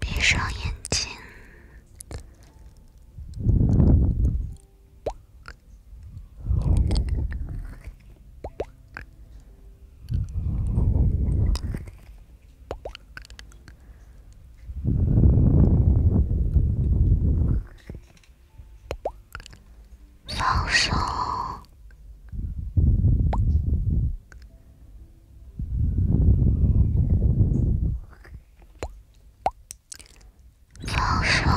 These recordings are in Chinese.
闭上眼睛。放松，放松。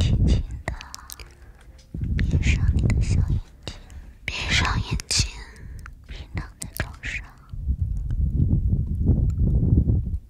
轻轻的，闭上你的小眼睛，闭上眼睛，平躺在床上。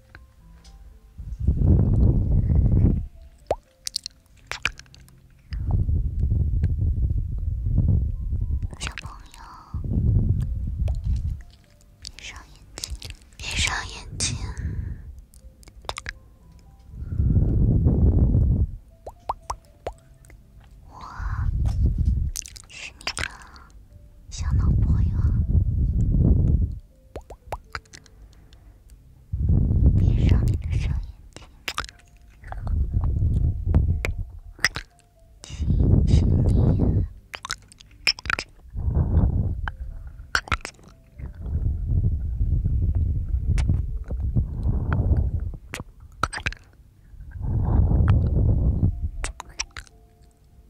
小朋友，闭上眼睛，闭上眼睛，我是你的小男朋友。闭上你的双眼睛，亲亲你。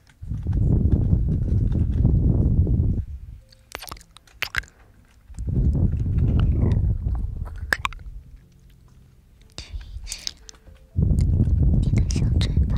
亲亲，你的小嘴巴。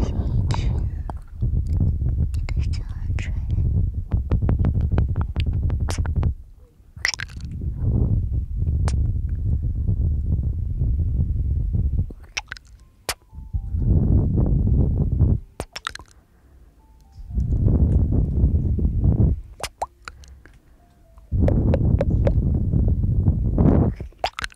吸气，你的下唇。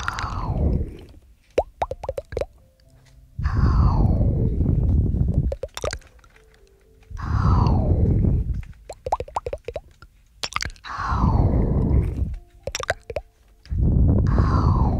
Ow. Ow. Ow. Ow. Ow.